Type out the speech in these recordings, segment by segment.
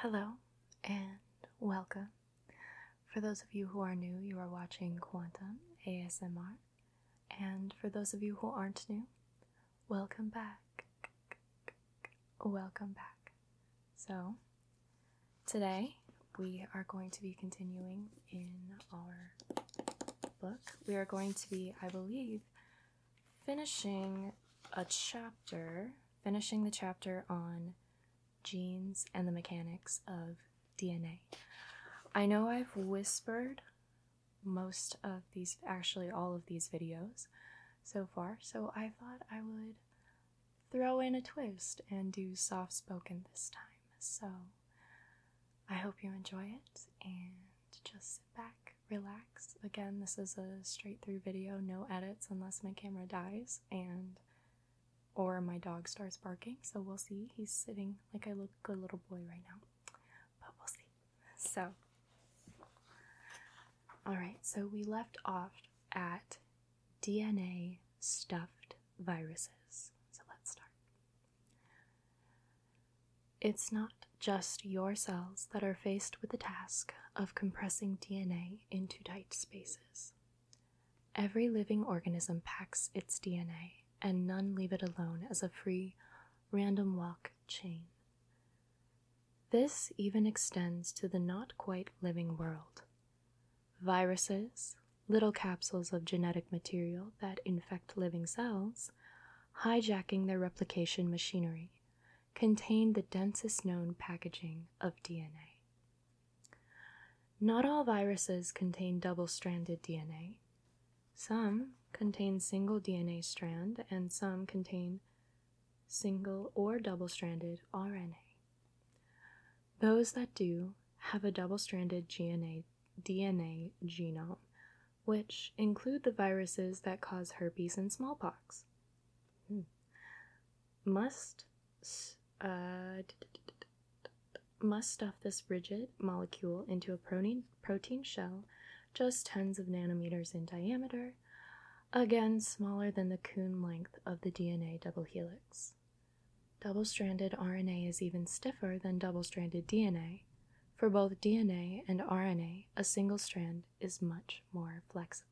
Hello and welcome. For those of you who are new, you are watching Quantum ASMR, and for those of you who aren't new, welcome back. Welcome back. So, today we are going to be continuing in our book. We are going to be, I believe, finishing a chapter, finishing the chapter on genes and the mechanics of DNA. I know I've whispered most of these, actually, all of these videos so far, so I thought I would throw in a twist and do soft spoken this time. So I hope you enjoy it and just sit back relax. Again, this is a straight through video, no edits unless my camera dies and or my dog starts barking. So we'll see. He's sitting like I look a little boy right now. But we'll see. So all right, so we left off at DNA stuffed viruses. So let's start. It's not just your cells that are faced with the task of compressing DNA into tight spaces. Every living organism packs its DNA, and none leave it alone as a free, random walk chain. This even extends to the not quite living world. Viruses, little capsules of genetic material that infect living cells, hijacking their replication machinery, contain the densest known packaging of DNA. Not all viruses contain double stranded DNA. Some contain single DNA strand, and some contain single or double stranded RNA. Those that do have a double stranded DNA, DNA genome which include the viruses that cause herpes and smallpox. Hmm. Must uh, must stuff this rigid molecule into a protein protein shell just tens of nanometers in diameter, again smaller than the coon length of the DNA double helix. Double stranded RNA is even stiffer than double stranded DNA, for both DNA and RNA, a single strand is much more flexible.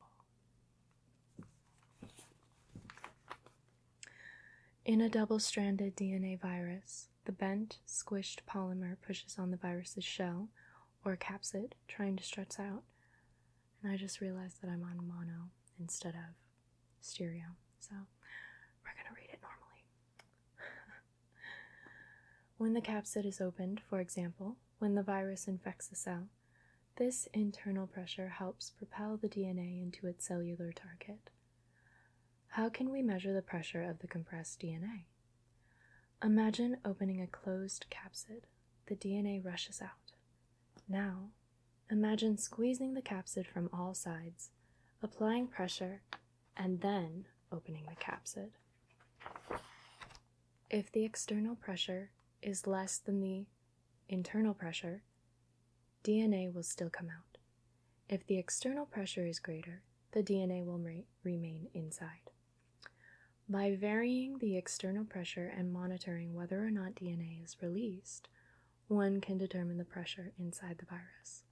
In a double stranded DNA virus, the bent, squished polymer pushes on the virus's shell or capsid, trying to stretch out. And I just realized that I'm on mono instead of stereo, so we're gonna read it normally. when the capsid is opened, for example, when the virus infects a cell, this internal pressure helps propel the DNA into its cellular target. How can we measure the pressure of the compressed DNA? Imagine opening a closed capsid. The DNA rushes out. Now, imagine squeezing the capsid from all sides, applying pressure, and then opening the capsid. If the external pressure is less than the internal pressure, DNA will still come out. If the external pressure is greater, the DNA will remain inside. By varying the external pressure and monitoring whether or not DNA is released, one can determine the pressure inside the virus.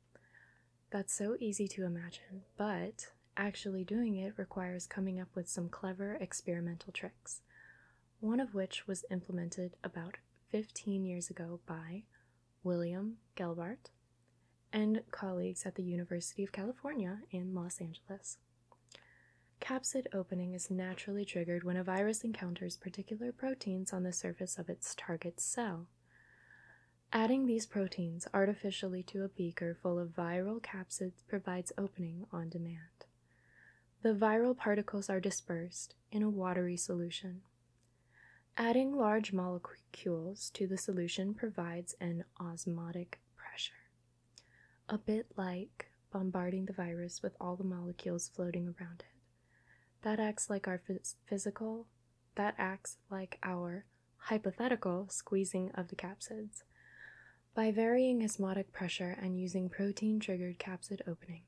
That's so easy to imagine, but actually doing it requires coming up with some clever experimental tricks, one of which was implemented about 15 years ago by William Gelbart and colleagues at the University of California in Los Angeles. Capsid opening is naturally triggered when a virus encounters particular proteins on the surface of its target cell. Adding these proteins artificially to a beaker full of viral capsids provides opening on demand. The viral particles are dispersed in a watery solution. Adding large molecules to the solution provides an osmotic pressure, a bit like bombarding the virus with all the molecules floating around it. That acts like our physical, that acts like our hypothetical squeezing of the capsids by varying osmotic pressure and using protein triggered capsid opening.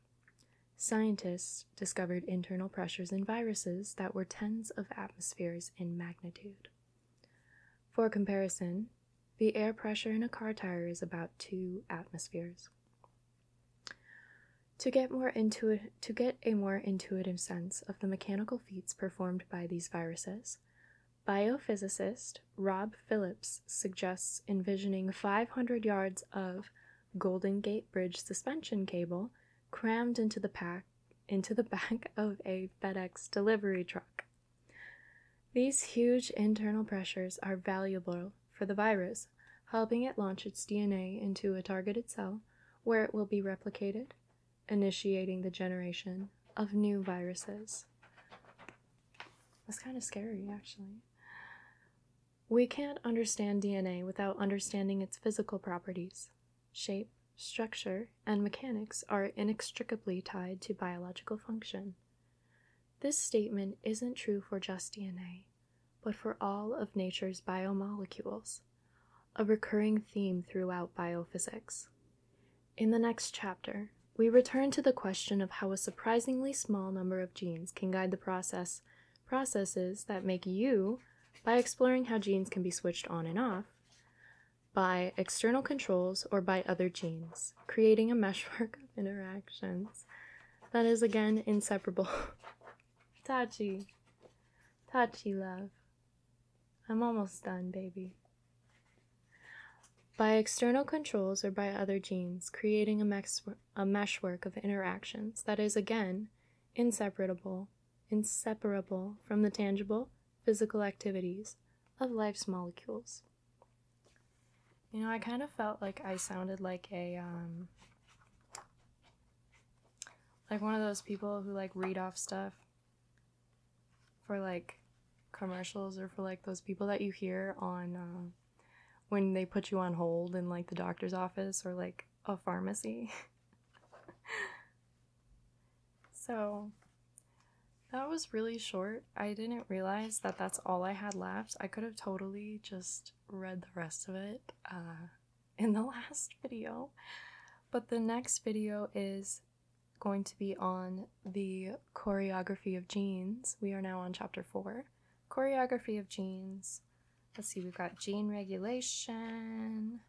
Scientists discovered internal pressures in viruses that were tens of atmospheres in magnitude. For comparison, the air pressure in a car tire is about two atmospheres. To get, a more intuitive sense of the mechanical feats performed by these viruses, biophysicist Rob Phillips suggests envisioning 500 yards of Golden Gate Bridge suspension cable crammed into the back of a FedEx delivery truck. These huge internal pressures are valuable for the virus helping it launch its DNA into a targeted cell where it will be replicated, initiating the generation of new viruses. That's kind of scary, actually. We can't understand DNA without understanding its physical properties. Shape, structure, and mechanics are inextricably tied to biological function. This statement isn't true for just DNA but for all of nature's biomolecules, a recurring theme throughout biophysics. In the next chapter, we return to the question of how a surprisingly small number of genes can guide the process processes that make you by exploring how genes can be switched on and off by external controls or by other genes, creating a meshwork of interactions that is again inseparable. touchy, touchy love. I'm almost done, baby. By external controls or by other genes, creating a, mex- a meshwork of interactions that is again inseparable, inseparable from the tangible physical activities of life's molecules. You know, I kind of felt like I sounded like a um, like one of those people who like read off stuff for like commercials or for like those people that you hear on um, when they put you on hold in like the doctor's office or like a pharmacy. so that was really short I didn't realize that that's all I had left. I could have totally just read the rest of it uh, in the last video. But the next video is going to be on the choreography of genes. We are now on chapter four. Choreography of genes. Let's see, we've got gene regulation.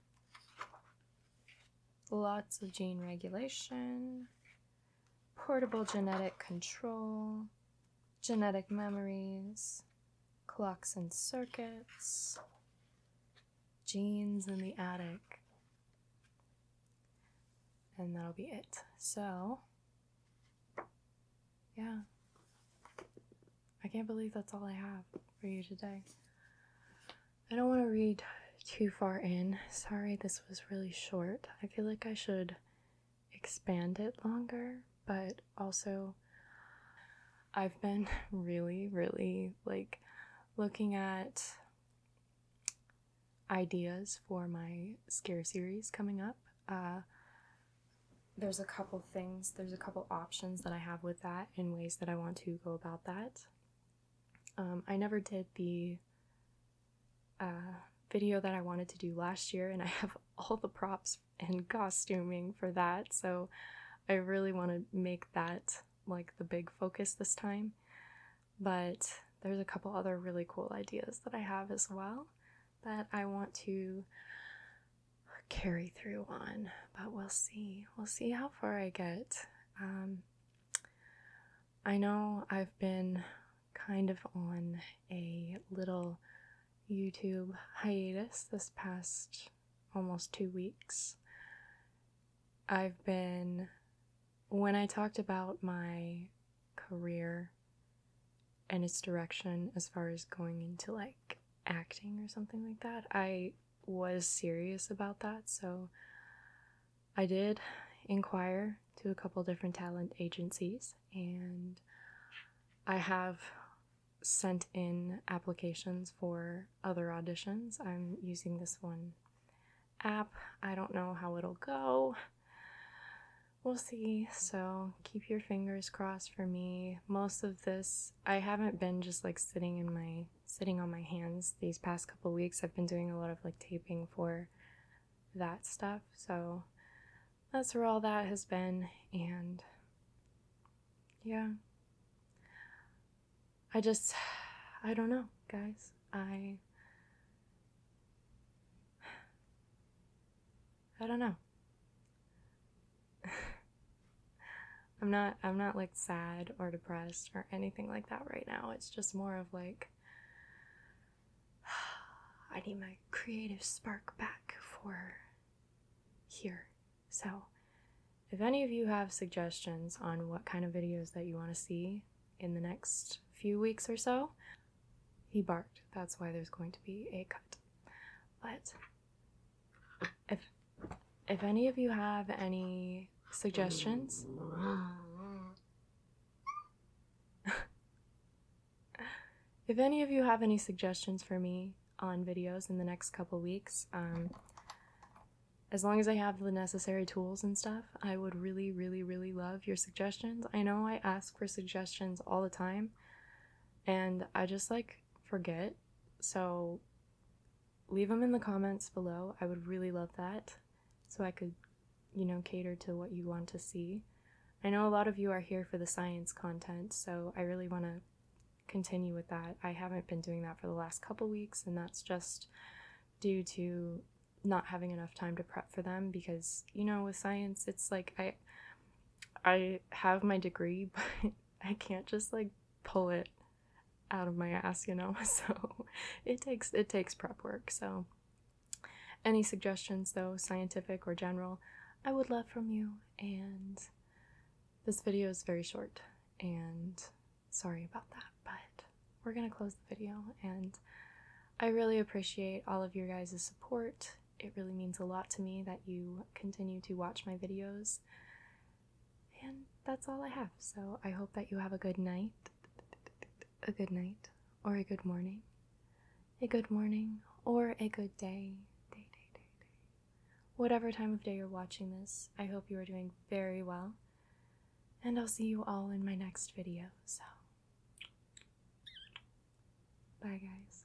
Lots of gene regulation portable genetic control, genetic memories, clocks and circuits, genes in the attic. And that'll be it. So, yeah. I can't believe that's all I have for you today. I don't want to read too far in. Sorry, this was really short. I feel like I should expand it longer, but also I've been really, really like looking at ideas for my scare series coming up. Uh, there's a couple things, there's a couple options that I have with that and ways that I want to go about that. Um, I never did the uh, video that I wanted to do last year, and I have all the props and costuming for that, so I really want to make that like the big focus this time. But there's a couple other really cool ideas that I have as well that I want to carry through on, but we'll see. We'll see how far I get. Um, I know I've been kind of on a little YouTube hiatus this past almost two weeks. I've been, when I talked about my career and its direction as far as going into like acting or something like that, I was serious about that. So I did inquire to a couple different talent agencies, and I have sent in applications for other auditions. I'm using this one app. I don't know how it'll go. We'll see. So keep your fingers crossed for me. Most of this, I haven't been just like sitting in my sitting on my hands these past couple weeks. I've been doing a lot of like taping for that stuff. So that's where all that has been. And yeah, I just, I don't know, guys. I, I don't know. I'm not I'm not like sad or depressed or anything like that right now. It's just more of like, I need my creative spark back for here. So, if any of you have suggestions on what kind of videos that you want to see in the next few weeks or so, he barked. That's why there's going to be a cut. But if if any of you have any suggestions? if any of you have any suggestions for me on videos in the next couple weeks, um, as long as I have the necessary tools and stuff, I would really, really, really love your suggestions. I know I ask for suggestions all the time and I just like forget. So leave them in the comments below. I would really love that so I could, you know, cater to what you want to see. I know a lot of you are here for the science content, so I really want to continue with that. I haven't been doing that for the last couple weeks, and that's just due to not having enough time to prep for them because, you know, with science, it's like I I have my degree, but I can't just like pull it out of my ass, you know. So it takes it takes prep work. So any suggestions though, scientific or general, I would love from you and this video is very short and sorry about that, but we're going to close the video and I really appreciate all of your guys' support. It really means a lot to me that you continue to watch my videos and that's all I have. So I hope that you have a good night, a good night, or a good morning, a good morning, or a good day, day, day, day, day. Whatever time of day you're watching this, I hope you are doing very well. And I'll see you all in my next video. So, bye, guys.